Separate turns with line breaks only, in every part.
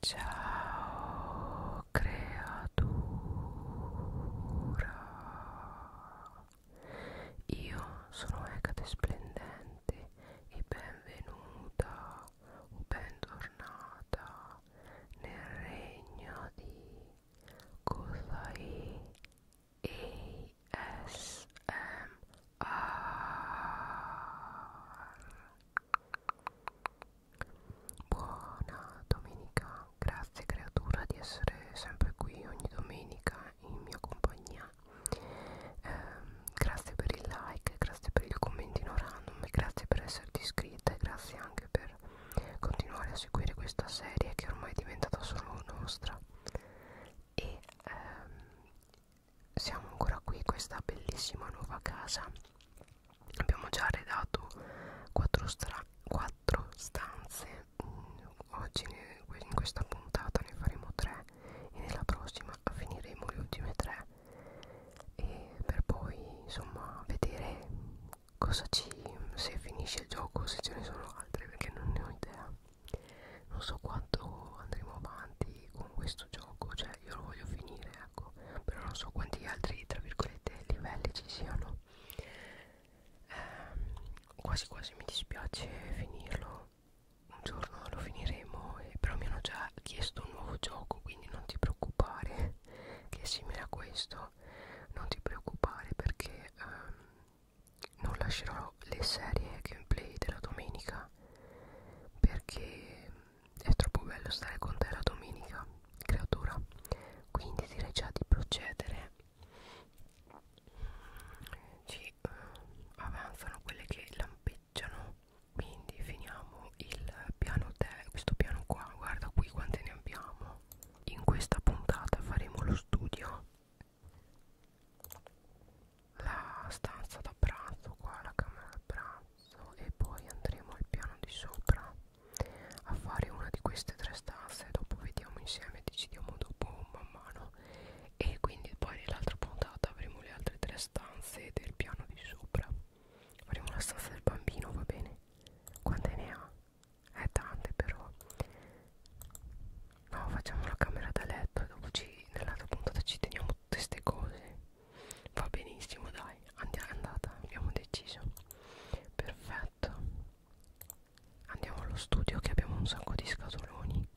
Ciao creatura, io sono Ecate Splendente e benvenuta o bentornata nel regno di Kozai ASMR Buona domenica, grazie creatura di essere sempre qui ogni domenica in mia compagnia. Eh, grazie per il like, grazie per il commentino random, grazie per esserti iscritta e grazie anche per continuare a seguire questa serie che ormai è diventata solo nostra. E ehm, siamo ancora qui questa bellissima nuova casa abbiamo già arredato quattro, quattro stanze mm, oggi in questa puntata ne faremo tre e nella prossima finiremo le ultime tre e per poi insomma vedere cosa ci se finisce il gioco se ce ne sono altre perché non ne ho idea non so quanto andremo avanti con questo questo gioco cioè io lo voglio finire ecco però non so quanti altri tra virgolette livelli ci siano ehm, quasi quasi mi dispiace finirlo un giorno lo finiremo eh, però mi hanno già chiesto un nuovo gioco quindi non ti preoccupare che è simile a questo non ti preoccupare perché ehm, non lascerò le serie gameplay della domenica perché è troppo bello stare con te la domenica, creatura. Quindi direi già di procedere. Ci eh, avanzano quelle che lampeggiano. Quindi finiamo il piano te, questo piano qua, guarda qui quante ne abbiamo. In questa puntata faremo lo studio la stanza da pranzo qua la camera da pranzo e poi andremo al piano di sopra a fare una di queste tre stanze dopo vediamo insieme decidiamo dopo man mano e quindi poi nell'altra puntata avremo le altre tre stanze del piano di sopra faremo la stanza del bambino va bene quante ne ha è tante però no facciamo la camera da letto e dopo ci nell'altra puntata ci teniamo tutte ste cose va benissimo dai andiamo andata abbiamo deciso perfetto andiamo allo studio che abbiamo un sacco di scatoloni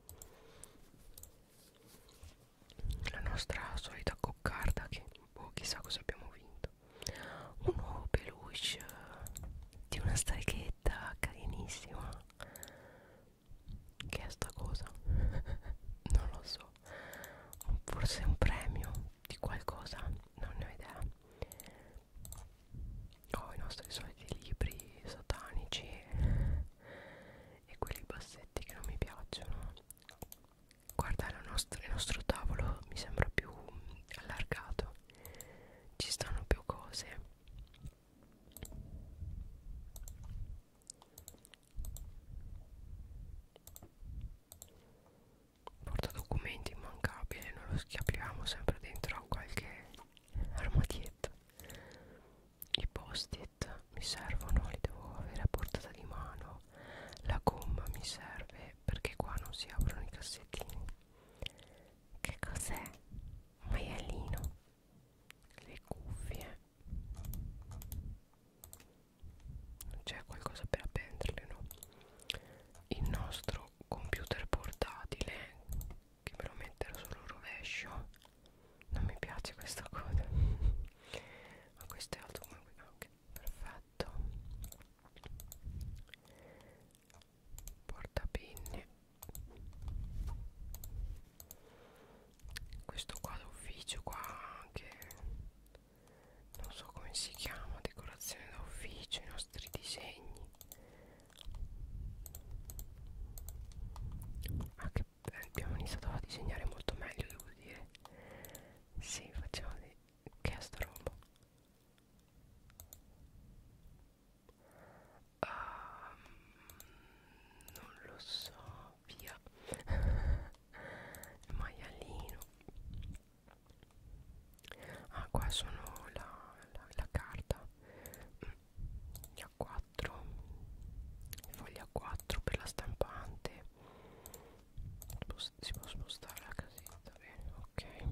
la nostra solita coccarda che boh, chissà cosa abbiamo vinto un nuovo peluche di una streghetta carinissima che è sta cosa? non lo so Forse un premio di qualcosa Non ne ho idea Ho oh, i nostri soliti libri satanici E quelli bassetti che non mi piacciono Guarda nostro, il nostro tavolo mi sembra più allargato Ci stanno più cose porta documenti immancabile noi lo schiapriamo sempre dentro a qualche armadietto i post-it mi servono li devo avere a portata di mano la gomma mi serve perché qua non si aprono i cassettini che cos'è? un maialino le cuffie non c'è qualcosa per appenderle no il nostro computer portatile che me lo metterò solo rovescio non mi piace questa cosa ma questo è alto come qui anche perfetto portapinne questo qua d'ufficio qua anche non so come si chiama decorazione d'ufficio i nostri disegni ah, che abbiamo iniziato a disegnare molto meglio devo dire si sì, facciamo di che è sta roba um, non lo so via il maialino ah qua sono la, la, la carta la 4 foglia 4 per la stampante si può spostare la casetta bene ok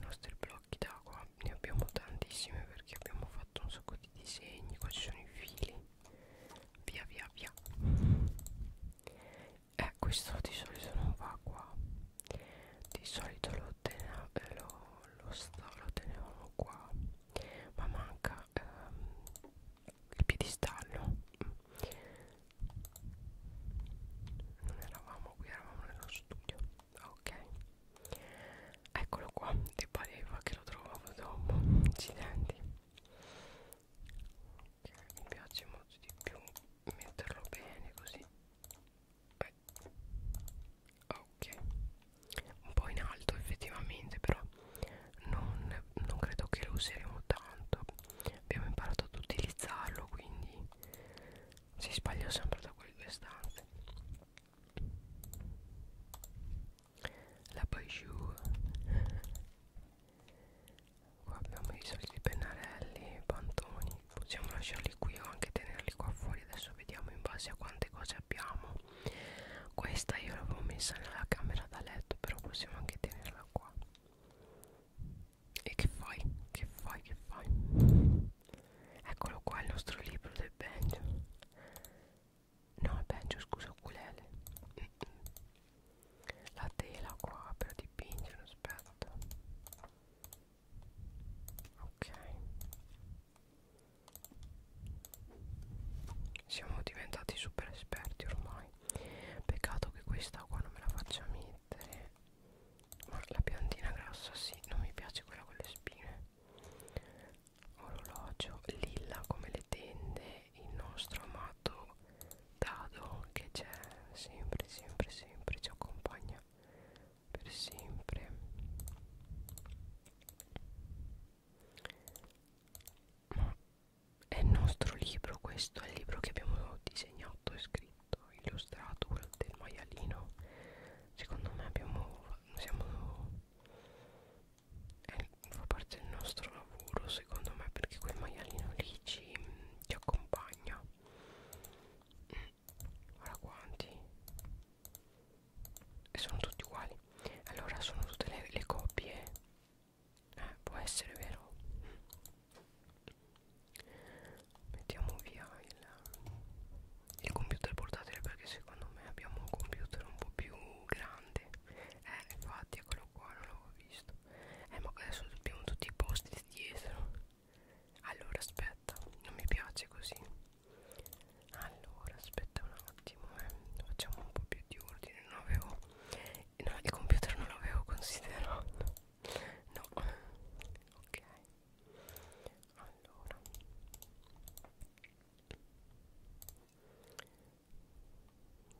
nostri blog fiocchi d'acqua ne abbiamo tantissimi perché abbiamo fatto un sacco di disegni qua ci sono i fili via via via eh questo di solito non va qua di solito lo, tena, eh, lo, lo, sta, lo tenevamo qua ma manca ehm, il piedistallo non eravamo qui eravamo nello studio ok eccolo qua ti pareva che lo trovavo dopo accidenti mi piace molto di più metterlo bene così eh. ok un po' in alto effettivamente però non, non credo che lo useremo tanto abbiamo imparato ad utilizzarlo quindi si sbaglio sempre da quelle due stanze la Bijou qua abbiamo i soliti pennarelli, pantoni possiamo lasciarli qui o anche tenerli qua fuori adesso vediamo in base a quante cose abbiamo questa io l'avevo messa nella camera da letto però possiamo anche tenerla qua e che fai? che fai? che fai? Eccolo qua il nostro libro del Benjo No, il Benjo, scusa, Ukulele La tela qua per dipingere, aspetta Ok Siamo diventati super esperti ormai Peccato che questa qua non me la faccia mettere ma la piantina grossa sì, non mi piace quella con le spine orologio lilla come le tende il nostro amato dado che c'è sempre sempre sempre ci accompagna per sempre ma è il nostro libro questo è il libro che abbiamo disegnato e scritto stato illustrato quello del maialino secondo me abbiamo siamo eh, fa parte del nostro lavoro secondo me perché quel maialino lì ci, ci accompagna guarda quanti e sono tutti uguali allora sono tutte le, le coppie eh, può essere vero mettiamo via il, il computer portatile perché secondo me abbiamo un computer un po' più grande eh infatti eccolo qua non l'avevo visto eh ma adesso abbiamo tutti i posti dietro allora aspetta non mi piace così allora aspetta un attimo eh. facciamo un po' più di ordine non avevo no, il computer non l'avevo considerato no ok allora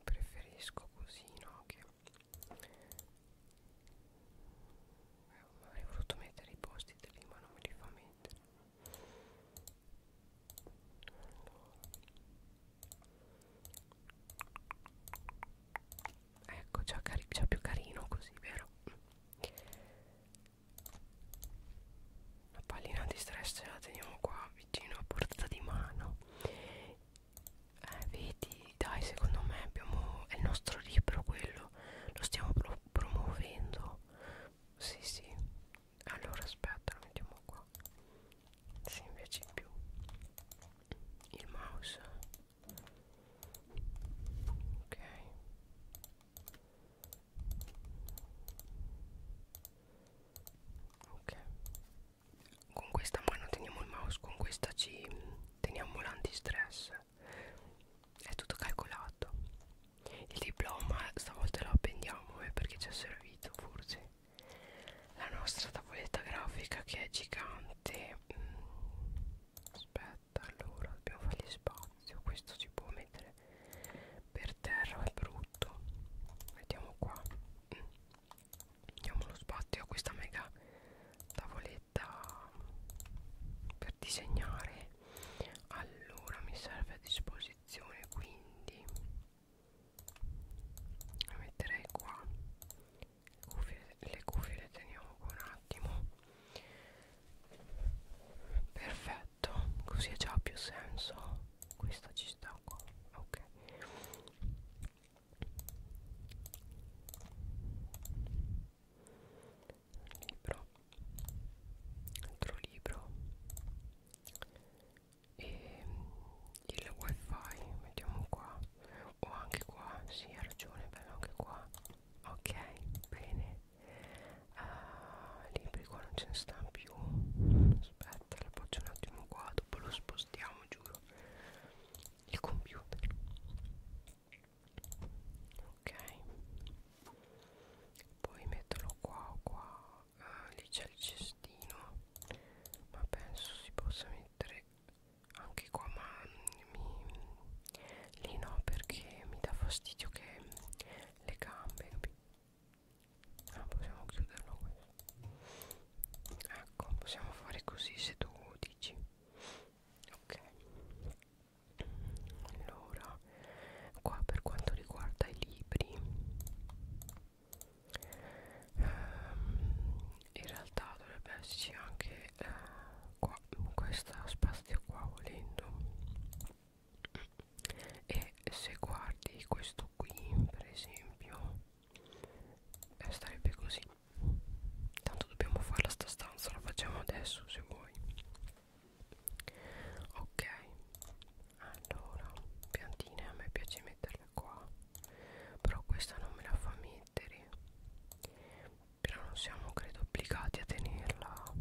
preferisco così no che avrei eh, voluto mettere i posti lì ma non me li fa mettere allora. ecco già, già più carino così vero la pallina di stress la teniamo qua vicino a portata di mano eh, vedi dai secondo me abbiamo è il nostro libro quello lo stiamo pro promuovendo sì sì allora aspetta lo mettiamo qua sì invece in più il mouse ok ok con questa mano teniamo il mouse con questa ci teniamo l'antistress è tutto calcolato il diploma stavolta lo appendiamo eh, perché ci è servito forse la nostra tavoletta grafica che è gigante mm. aspetta aspetta allora dobbiamo fargli spazio questo si può mettere per terra è brutto mettiamo qua diamo lo spazio a questa mega tavoletta per disegnare allora mi serve a disposizione quindi metterei qua le cuffie le, cuffie le teniamo qua un attimo perfetto così ha già più senso questa ci sta qua ok libro altro libro e ehm, il wifi mettiamo qua o oh, anche qua si sì, ha ragione bello anche qua ok bene uh, libri qua non ce ne stanno più aspetta la faccio un attimo qua dopo lo spostiamo giuro il computer ok poi metterlo qua o qua uh, lì c'è il cestino ma penso si possa mettere anche qua ma mi, lì no perché mi dà fastidio che le gambe ah, possiamo chiuderlo questo ecco possiamo fare così se tu dici ok allora qua per quanto riguarda i libri ehm, in realtà dovrebbe esserci anche eh, qua in questo spazio qua volendo e se guardi questo qui per esempio eh, starebbe così tanto dobbiamo farla sta stanza la facciamo adesso se vuoi ok allora piantine a me piace metterle qua però questa non me la fa mettere però non siamo credo obbligati a tenerla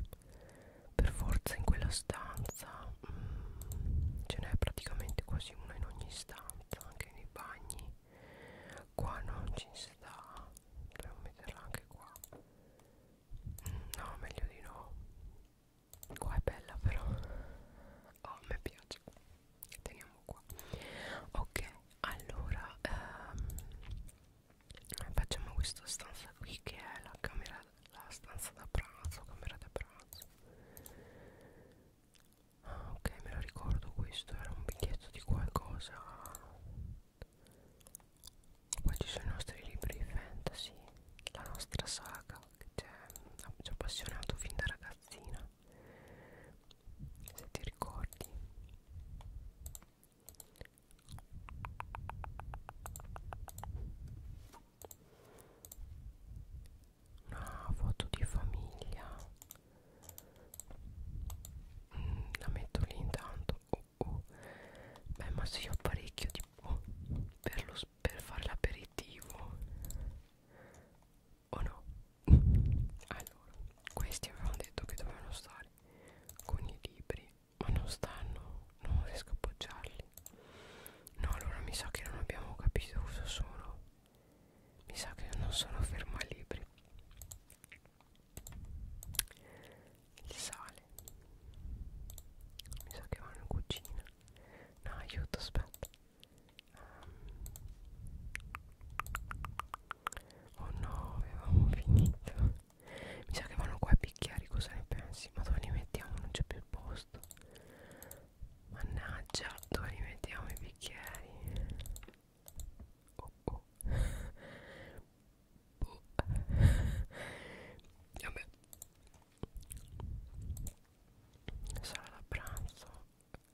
per forza in quella stanza mm, ce n'è praticamente quasi una in ogni stanza anche nei bagni qua non ci sta dobbiamo metterla anche qua mm, no meglio di no qua è bella però oh mi piace teniamo siamo qua ok allora ehm, facciamo questa stanza qui che è la camera la stanza da pranzo camera da pranzo ah, ok me lo ricordo questo era un biglietto di qualcosa qua ci sono i nostri libri fantasy la nostra saga che ci ha appassionato fin da ragazzina se ti ricordi una foto di famiglia mm, la metto lì intanto oh, oh. beh ma se io ho parecchio tipo uh, per, lo, per fare l'aperitivo o no? allora, questi avevano detto che dovevano stare con i libri, ma non stanno, non riesco a appoggiarli. No, allora mi sa che non abbiamo capito cosa sono. Mi sa che non sono fermalibri. Il sale. Mi sa che vanno in cucina. No, aiuto, aspetta. Um. Oh no, avevamo finito. Mi sa che vanno qua a picchiare, cosa ne pensi? Ma dove li mettiamo? Non c'è più il posto. Mannaggia, dove li mettiamo i bicchieri? Oh, oh. oh. Vabbè. Sala da pranzo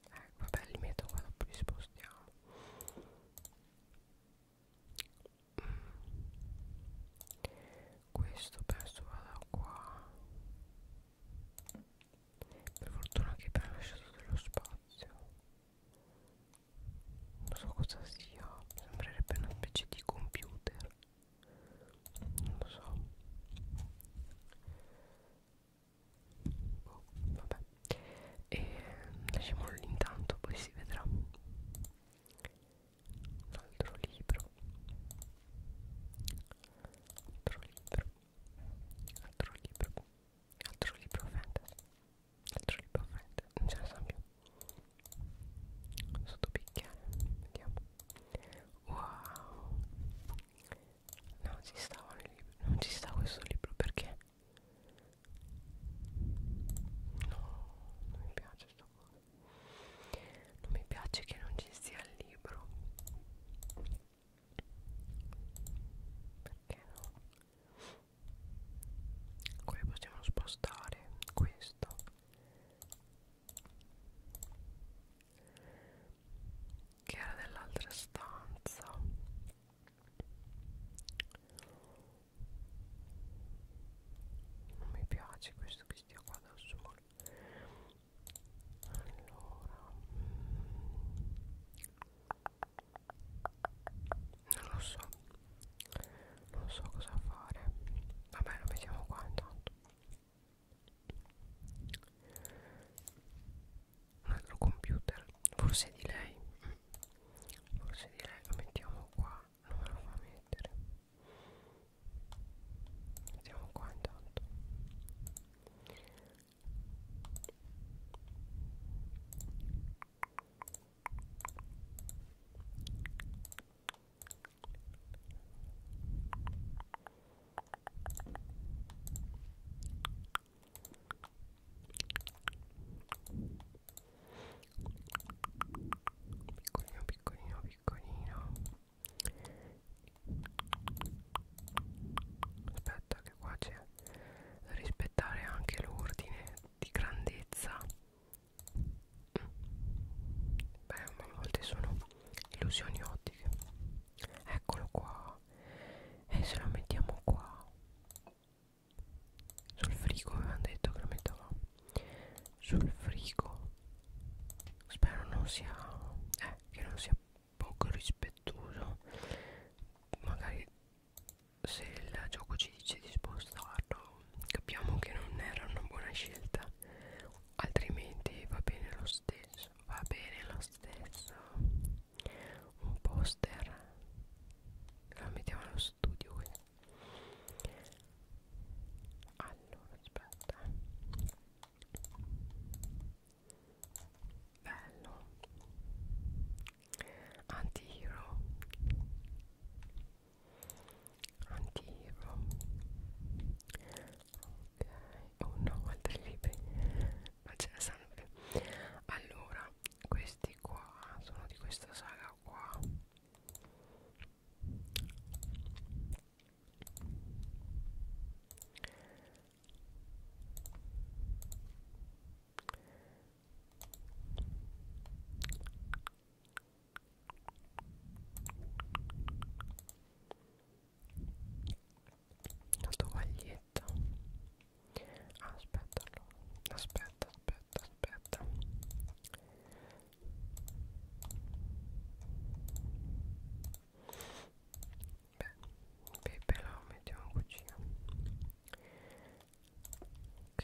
eh, vabbè li metto qua dopo li spostiamo mm. questo penso vada qua per fortuna che abbiamo lasciato dello spazio non so cosa sia sembrerebbe una specie di computer non lo so boh, vabbè e mm, lasciamolo intanto poi si vedrà un altro libro altro libro altro libro altro libro fantasy altro libro fantasy non ce ne sono più sotto picchiare vediamo wow non ci stava il libro non ci sta questo libro perché No, non mi piace sto coso. Non mi piace che non ci sia il libro. Perché no? Qui possiamo spostare questo. Che era dell'altra stanza non mi piace questo che stia qua dal sole allora non lo so non so cosa fare vabbè lo mettiamo qua intanto un altro computer forse di lei forse di lei lo mettiamo qua non me lo fa mettere mettiamo qua intanto Piccolino, piccolino, piccolino. Aspetta che qua c'è da rispettare anche l'ordine di grandezza. Beh, a volte sono illusioni ottiche eccolo qua e se lo mettiamo qua sul frigo avevamo detto che lo mettevamo sul frigo spero non sia eh, che non sia poco rispettoso magari se il gioco ci dice di spostarlo capiamo che non era una buona scelta altrimenti va bene lo stesso va bene lo stesso un poster lo mettiamo nello studio quindi. allora aspetta bello anti-hero anti-hero ok oh no altri libri ma ce ne interessante allora questi qua sono di questa saga qua la tovaglietta aspetta allora aspetta aspetta aspetta beh pepe la mettiamo in cucina ok ok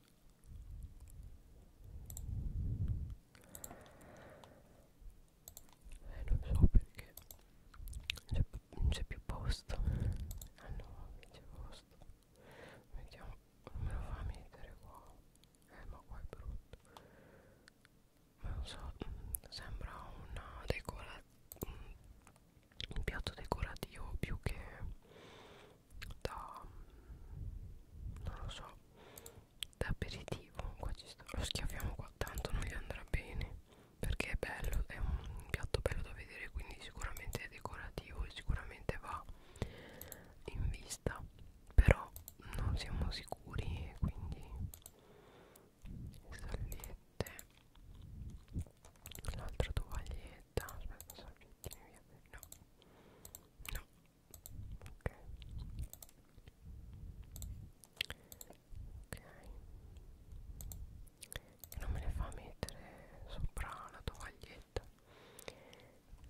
eh, non so perché non c'è più posto ah no non c'è posto vediamo non me lo fa mettere qua eh ma qua è brutto ma non so mm, sembra una decorazione un piatto decorativo più che da non lo so da aperitivo qua ci sta, lo schiaffiamo qua tanto non gli andrà bene perché è bello è un piatto bello da vedere quindi sicuramente è decorativo e sicuramente va in vista però non siamo sicuri quindi salviette l'altra tovaglietta aspetta salvettini via no no ok ok e non me le fa mettere sopra la tovaglietta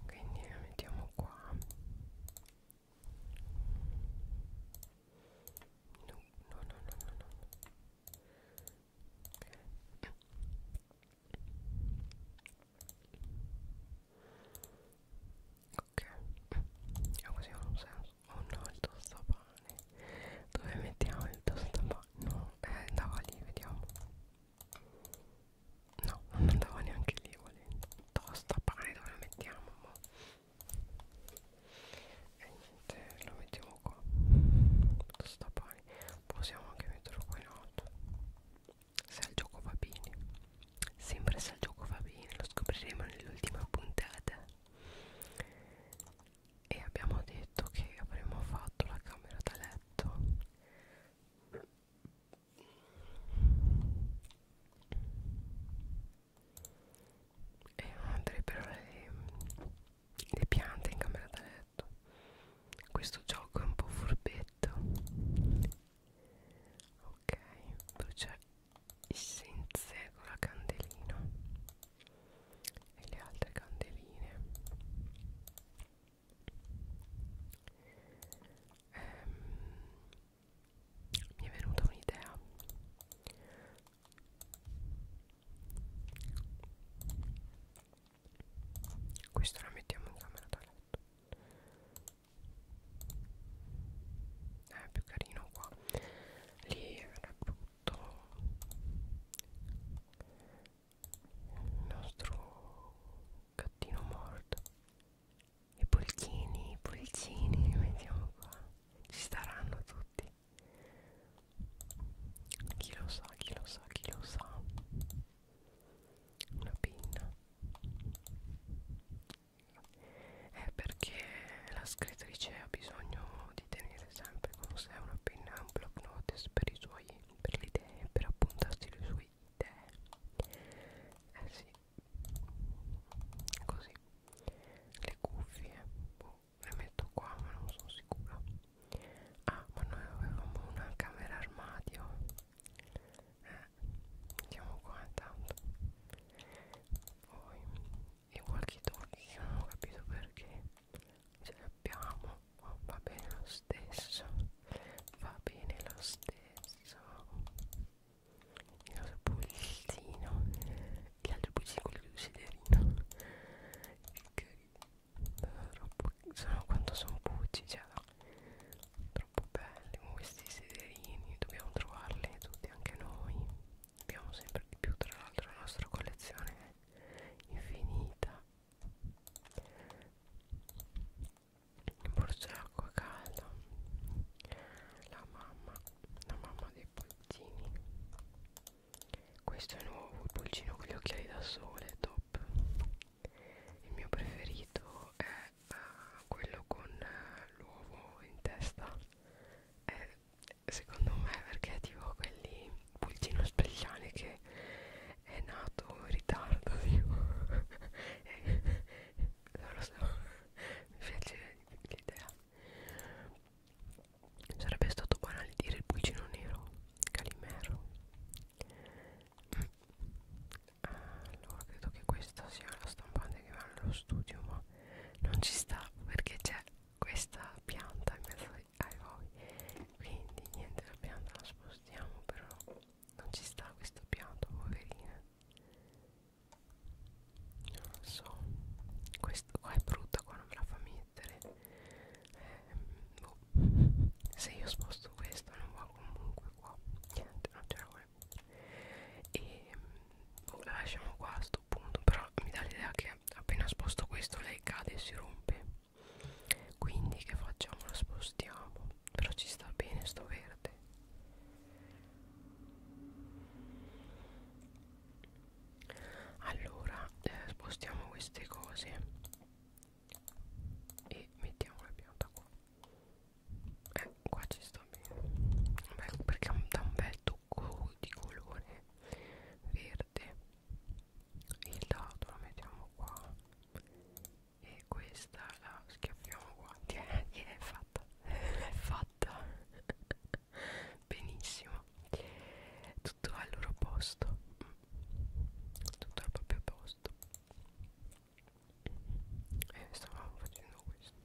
quindi la mettiamo qua no no no no no, no. Okay. Ok, è così ha un senso. Oh no, il tostapane. Dove mettiamo il tostapane? No, eh, andava lì, vediamo. No, non andava neanche lì volendo. Tostapane dove lo mettiamo? Mo? E eh, niente, lo mettiamo qua. Tostapane vari possiamo anche metterlo qua in alto se il gioco va bene sempre se il gioco va bene lo scopriremo nell'ultima puntata e abbiamo detto che avremmo fatto la camera da letto e non andrebbero le le piante in camera da letto questo gioco è un po' furbetto ok brucia essenze con la candelina e le altre candeline ehm, mi è venuta un'idea questa la mettiamo in camera da letto. Eh, è più carino qua. Lì era brutto. Il nostro gattino morto. I pulcini, i pulcini li mettiamo qua. Ci staranno tutti. Chi lo sa, chi lo sa, chi lo sa. Una pinna. È perché la scrittrice ha bisogno di tenere sempre con sé una penna e un block notice per, i suoi, per le idee, per appuntarsi le sue idee. Eh sì, così. Le cuffie, boh, le metto qua ma non sono sicura ah ma noi avevamo una camera armadio eh, mettiamo qua intanto poi i walkie talkie che non ho capito perché ce li abbiamo oh, va bene lo stesso va bene lo stesso il nostro pulsino gli altri pulsini quelli del siderino che troppo, sono quanto sono bucci cioè troppo belli ma questi sederini dobbiamo trovarli tutti anche noi abbiamo sempre di più tra l'altro la nostra collezione è infinita il borso d'acqua calda la mamma la mamma dei puntini questo è nuovo il pulcino con gli occhiali da sole top il mio preferito è uh, quello con uh, l'uovo in testa è, secondo me perché è tipo quelli pulcino speziale che è nato in ritardo tipo. non lo so mi piace l'idea Sarebbe stato banale dire il pulcino nero, Calimero. Allora, credo che questa sia la stampante che va nello studio, ma non ci sta perché c'è questa pianta in mezzo ai voi. Quindi, niente, la pianta la spostiamo, però non ci sta questa pianta, poverina. Non lo so, questa qua è brutta, qua non me la fa mica mettere eh, boh. se io sposto questo non va comunque qua niente non ce la volevo e boh, la lasciamo qua a sto punto però mi dà l'idea che appena sposto questo lei cade e si rompe quindi che facciamo la spostiamo però ci sta bene sto verde allora eh, spostiamo queste cose e mettiamo la pianta qua eh, qua ci sta bene Beh, perché dà un bel tocco di colore verde il dado lo mettiamo qua e questa la schiaffiamo qua e è fatta è fatta benissimo tutto al loro posto tutto al proprio posto e stavamo facendo questo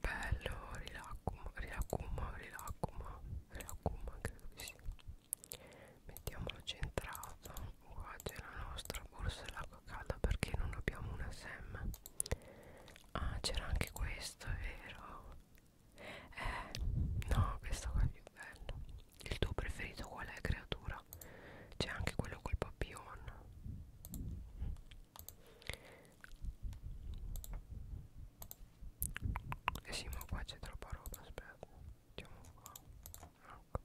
bello rilacuma rilacuma rilacuma rilacuma credo che sia mettiamolo centrato qua c'è la nostra borsa dell'acqua calda perché non abbiamo una sem ah c'era anche questo è vero eh, no, questo qua è più bello. Il tuo preferito qual è, creatura? C'è anche quello col papillon. Eh sì, ma qua c'è troppa roba, aspetta. Andiamo qua. Ecco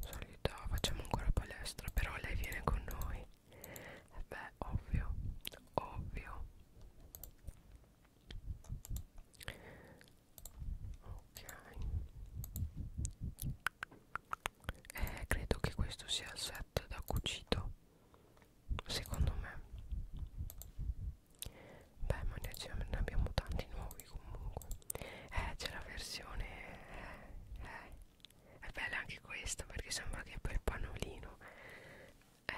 solita facciamo ancora palestra però lei viene con noi e eh beh ovvio ovvio ok eh, credo che questo sia il set da cucito secondo me beh ma ne abbiamo tanti nuovi comunque eh c'è la versione eh, eh è bella anche questa perché sembra che per pannolino eh,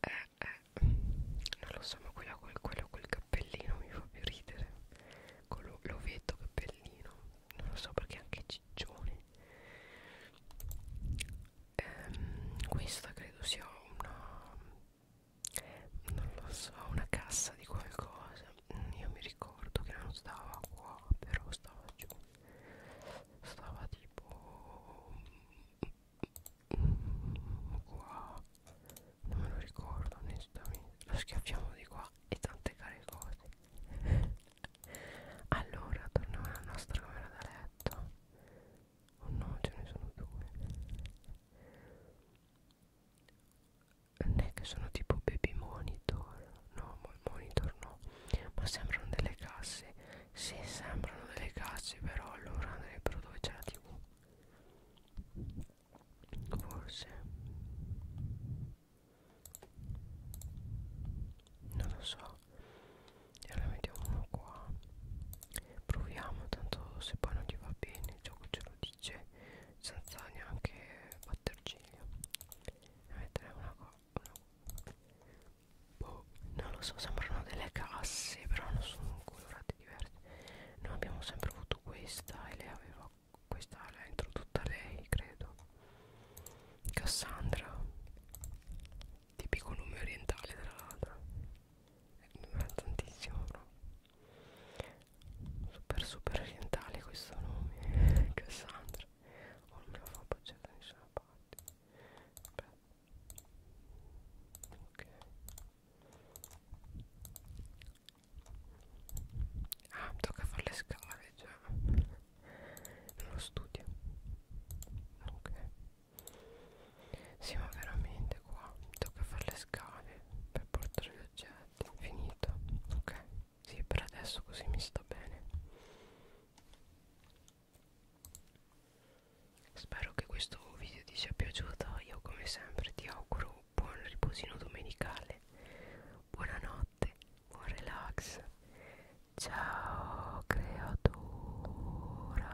eh, eh. non lo so ma quello col, quello col cappellino mi fa più ridere con l'ovetto cappellino non lo so perché anche ciccione ehm, questa credo sia una non lo so una cassa di qualcosa io mi ricordo che non stava qua però stava giù stava tipo qua non me lo ricordo onestamente lo schiaffiamo di qua e tante care cose allora torniamo alla nostra camera da letto oh no ce ne sono due non è che sono tipo baby monitor no monitor no ma sembrano delle casse si sì, sembrano delle casse però allora andrebbero dove c'è la tv forse non lo so e allora mettiamo uno qua proviamo tanto se poi non ti va bene il gioco ce lo dice senza neanche battere torciglio ne metterei una cosa boh non lo so sembrano delle casse però non sono colorate diverse noi abbiamo sempre avuto questa e lei aveva questa l'ha introdotta lei credo Cassandra tipico nome orientale tra l'altro eh, tantissimo no? super super orientale questo nome Cassandra oh, non me lo fa appoggiare da certo nessuna parte Beh. ok ah tocca fare le scale già nello studio ok sì ma veramente qua tocca fare le scale per portare gli oggetti finito ok sì per adesso così mi sta bene spero che questo video ti sia piaciuto io come sempre ti auguro buon riposino domenicale buonanotte buon relax ciao creatura